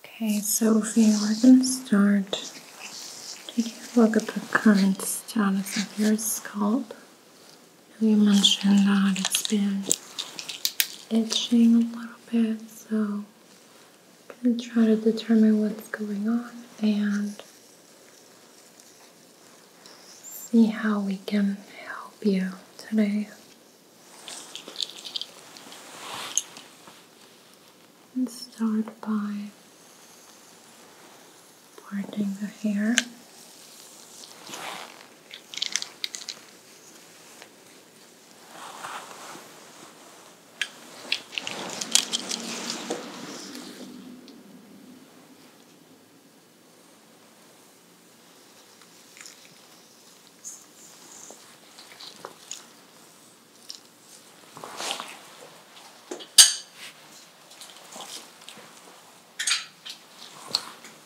Okay, Sophie, we're going to start taking a look at the current status of your scalp. We mentioned that it's been itching a little bit, so we am going to try to determine what's going on and see how we can help you today. And start by parting the hair.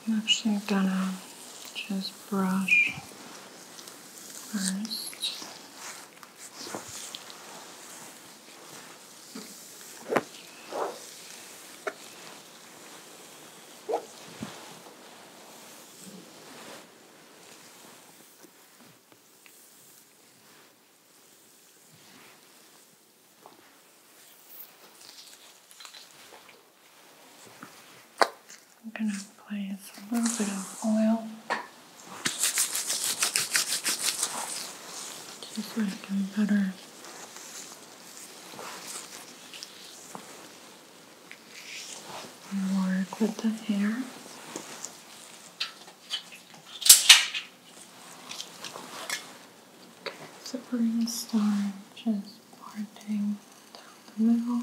I'm actually gonna just brush first. I'm going to place a little bit of oil just so I can better work with the hair. Okay, so we're going to start just parting down the middle.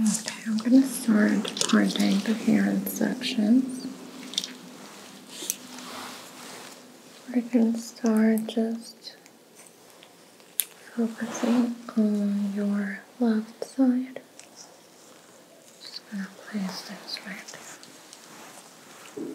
Okay, I'm going to start parting the hair in sections. I can start just focusing on your left side. Just going to place this right there.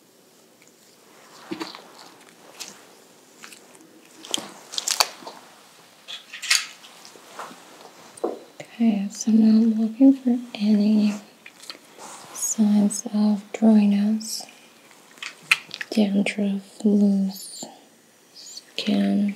Okay, so now I'm looking for any signs of dryness, dandruff, loose skin.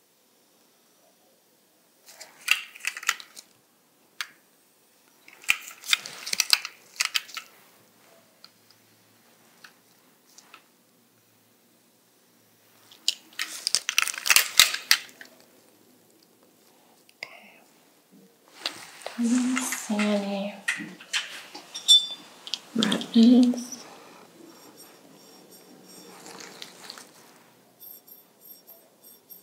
Doesn't see any redness.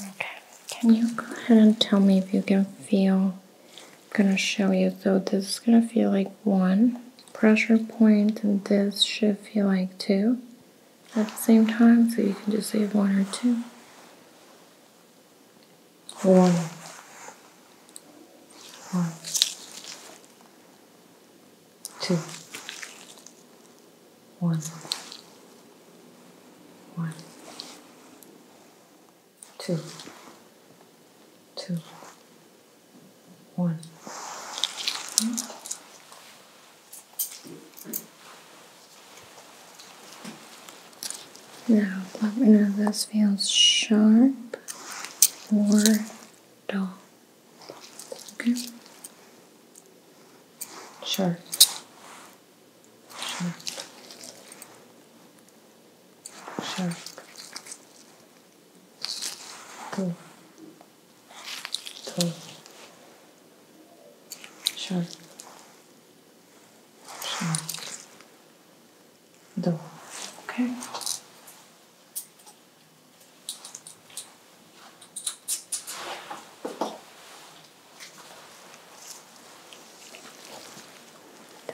Okay, can you go ahead and tell me if you can feel? I'm gonna show you. So, this is gonna feel like one pressure point, and this should feel like two at the same time. So, you can just say one or two. One. One two, one, one, two, two, one. Now let me know if this feels sharp or dull. Okay. Sharp. Sharp. Sharp. Cool. Tall. Sharp. Sharp. Door. Okay.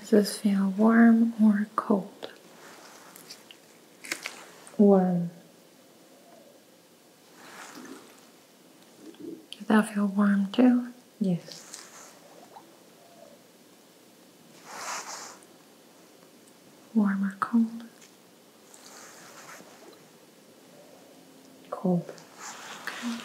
Does this feel warm or cold? Warm. Does that feel warm too? Yes warm or cold? Cold. Okay.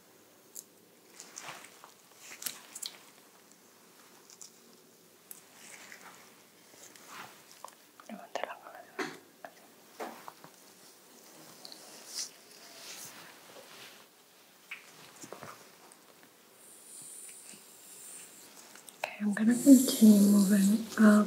Okay, I'm going to continue moving up.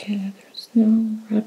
Okay, there's no red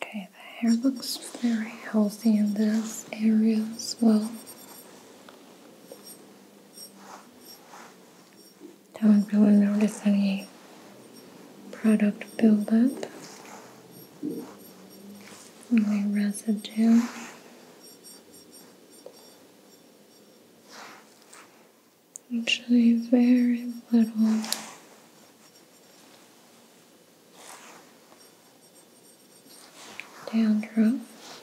Okay, the hair looks very healthy in this area as well do not really notice any product buildup, only residue. Actually, very little. down dandruff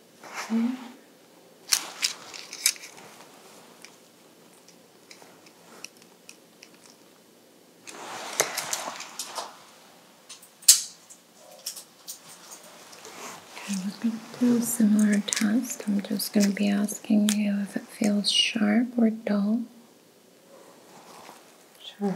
Okay, we're going to do a similar test. I'm just going to be asking you if it feels sharp or dull. Sharp.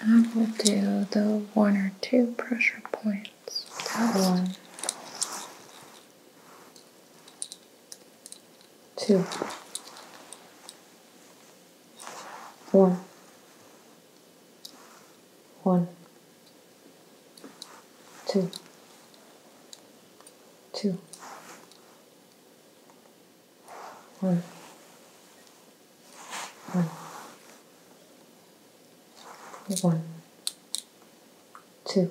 I will do the one or two pressure points. That one one, one, two,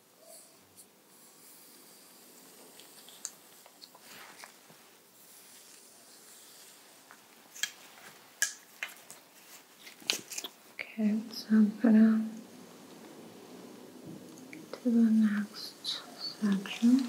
Okay, so I'm gonna to the next section.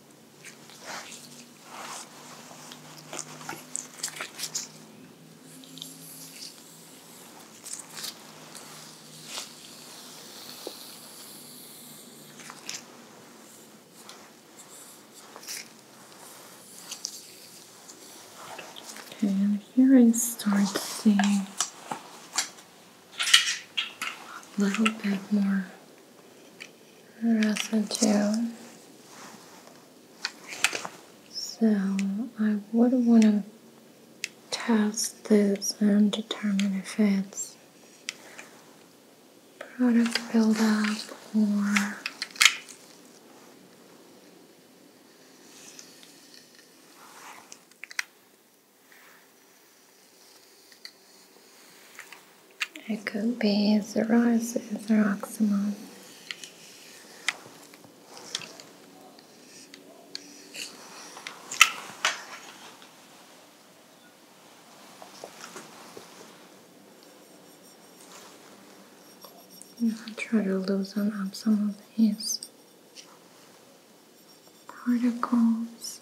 Okay, and here I start seeing a little bit more residue. So I would want to test this and determine if it's product buildup or it could be psoriasis or eczema. And I'll try to loosen up some of these particles.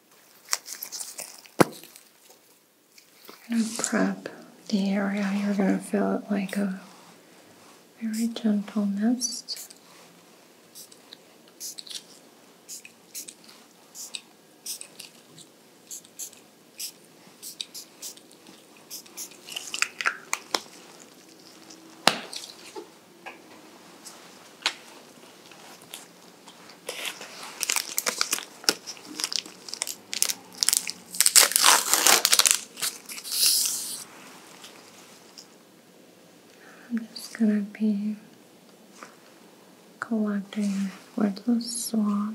You're going to prep the area. You're going to fill it like a very gentle mist. I'm just gonna be collecting words of swab.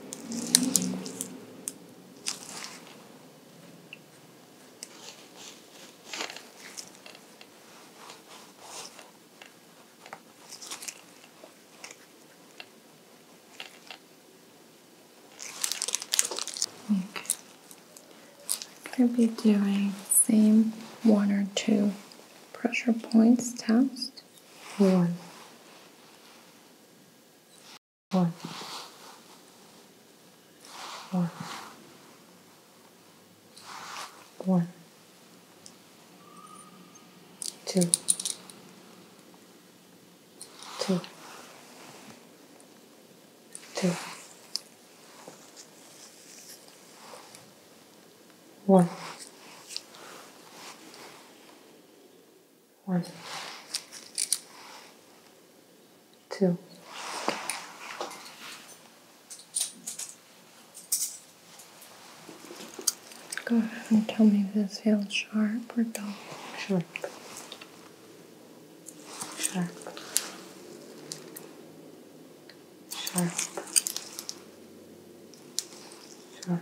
Okay. We're going to be doing same one or two pressure points test. One one, one, one, two, two, two, one. One, two, Go ahead and tell me if this feels sharp or dull. Sharp. Sharp. Sharp. Sharp.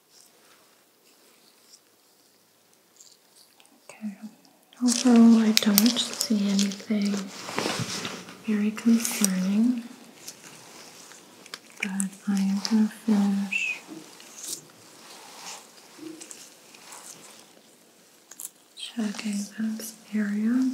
Okay, overall, I don't see anything very concerning, but I am going to finish checking this area.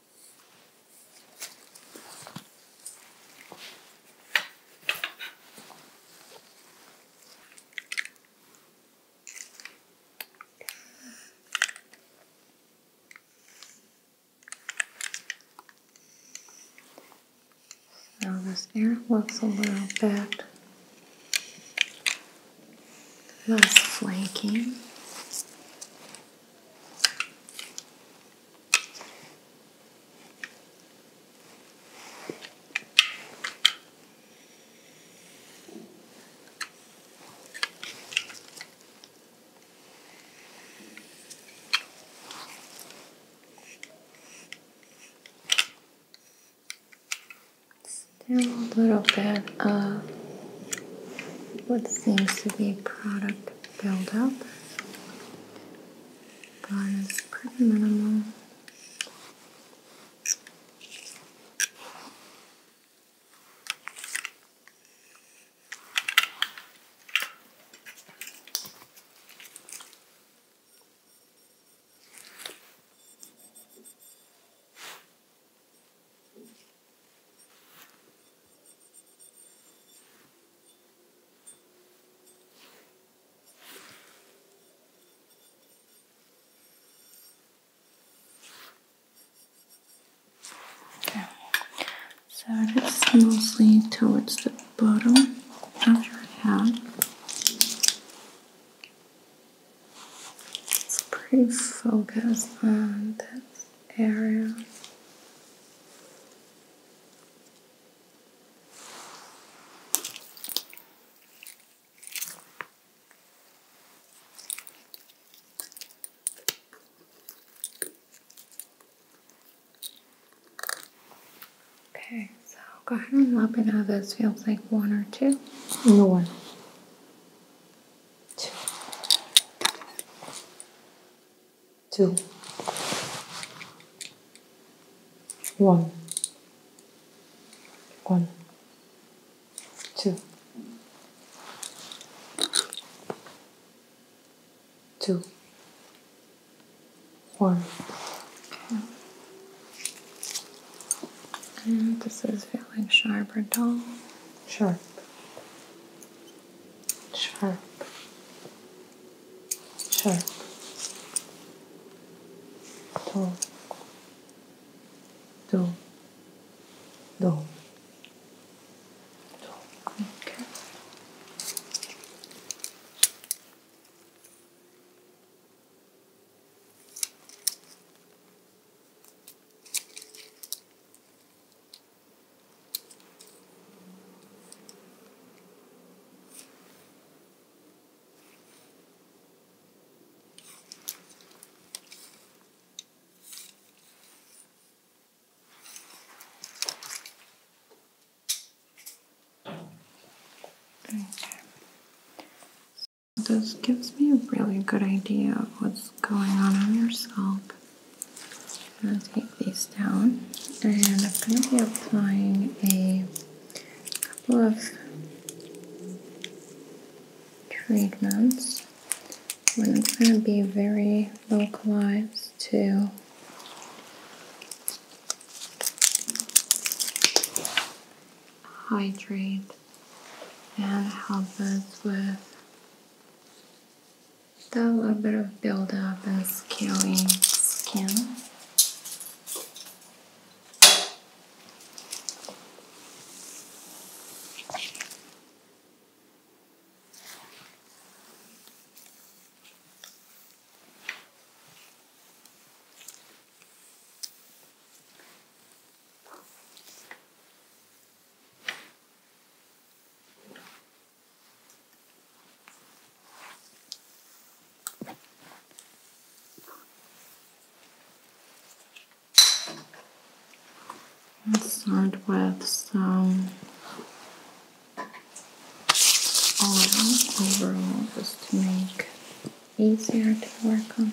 So this air looks a little bit less flaky. Still a little bit of what seems to be a product build up. Gone pretty minimal. Okay, so just mostly towards the bottom of your head. It's pretty focused on this area. Okay, so go ahead and let me know this feels like one or two. No one. Two two, one, one, two, two, one. And this is feeling sharp or dull? Sharp sharp, sharp, dull, dull, dull, dull. Okay this gives me a really good idea of what's going on in your scalp. I'm going to take these down and I'm going to be applying a couple of treatments. One is going to be very localized to hydrate and help us with Still a bit of buildup and scaling skin. Let's start with some oil overall just to make easier to work on.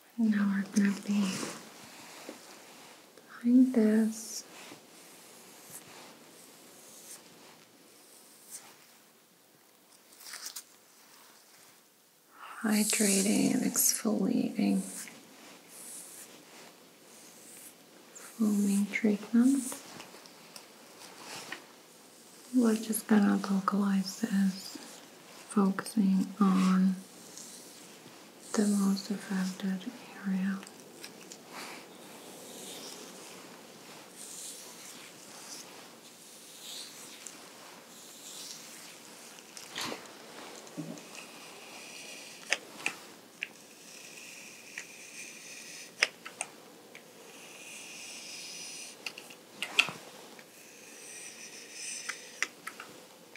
now we're going to be behind this. Hydrating and exfoliating foaming treatment. We're just gonna localize this, focusing on the most affected area.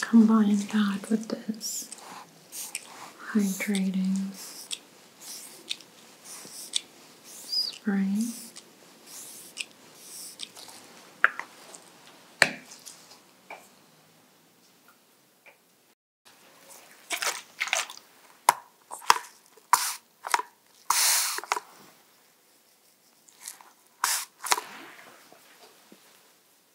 combine that with this hydrating spray.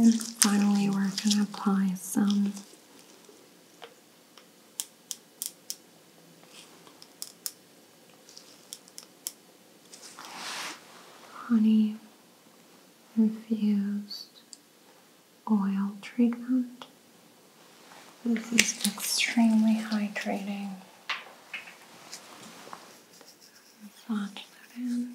And finally, we're going to apply some honey infused oil treatment. This is extremely hydrating. Massage that in.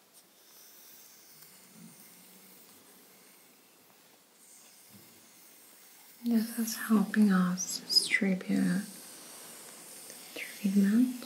This is helping us distribute the treatment.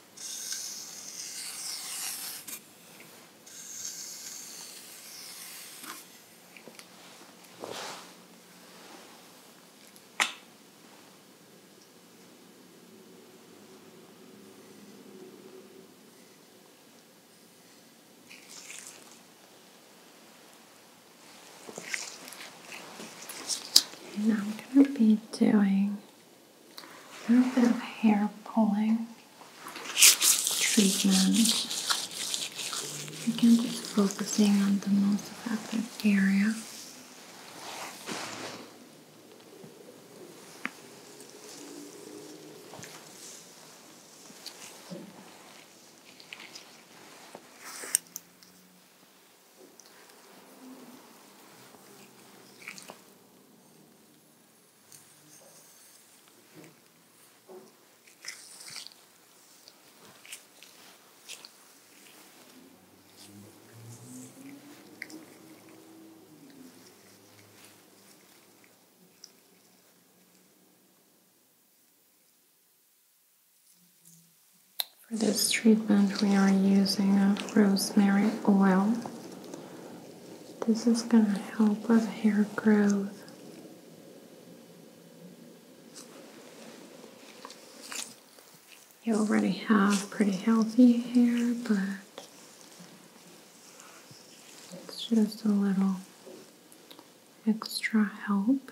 Now I'm going to be doing a little bit of hair pulling treatment. Again, just focusing on the most affected area. For this treatment, we are using a rosemary oil this is going to help with hair growth. You already have pretty healthy hair, but it's just a little extra help.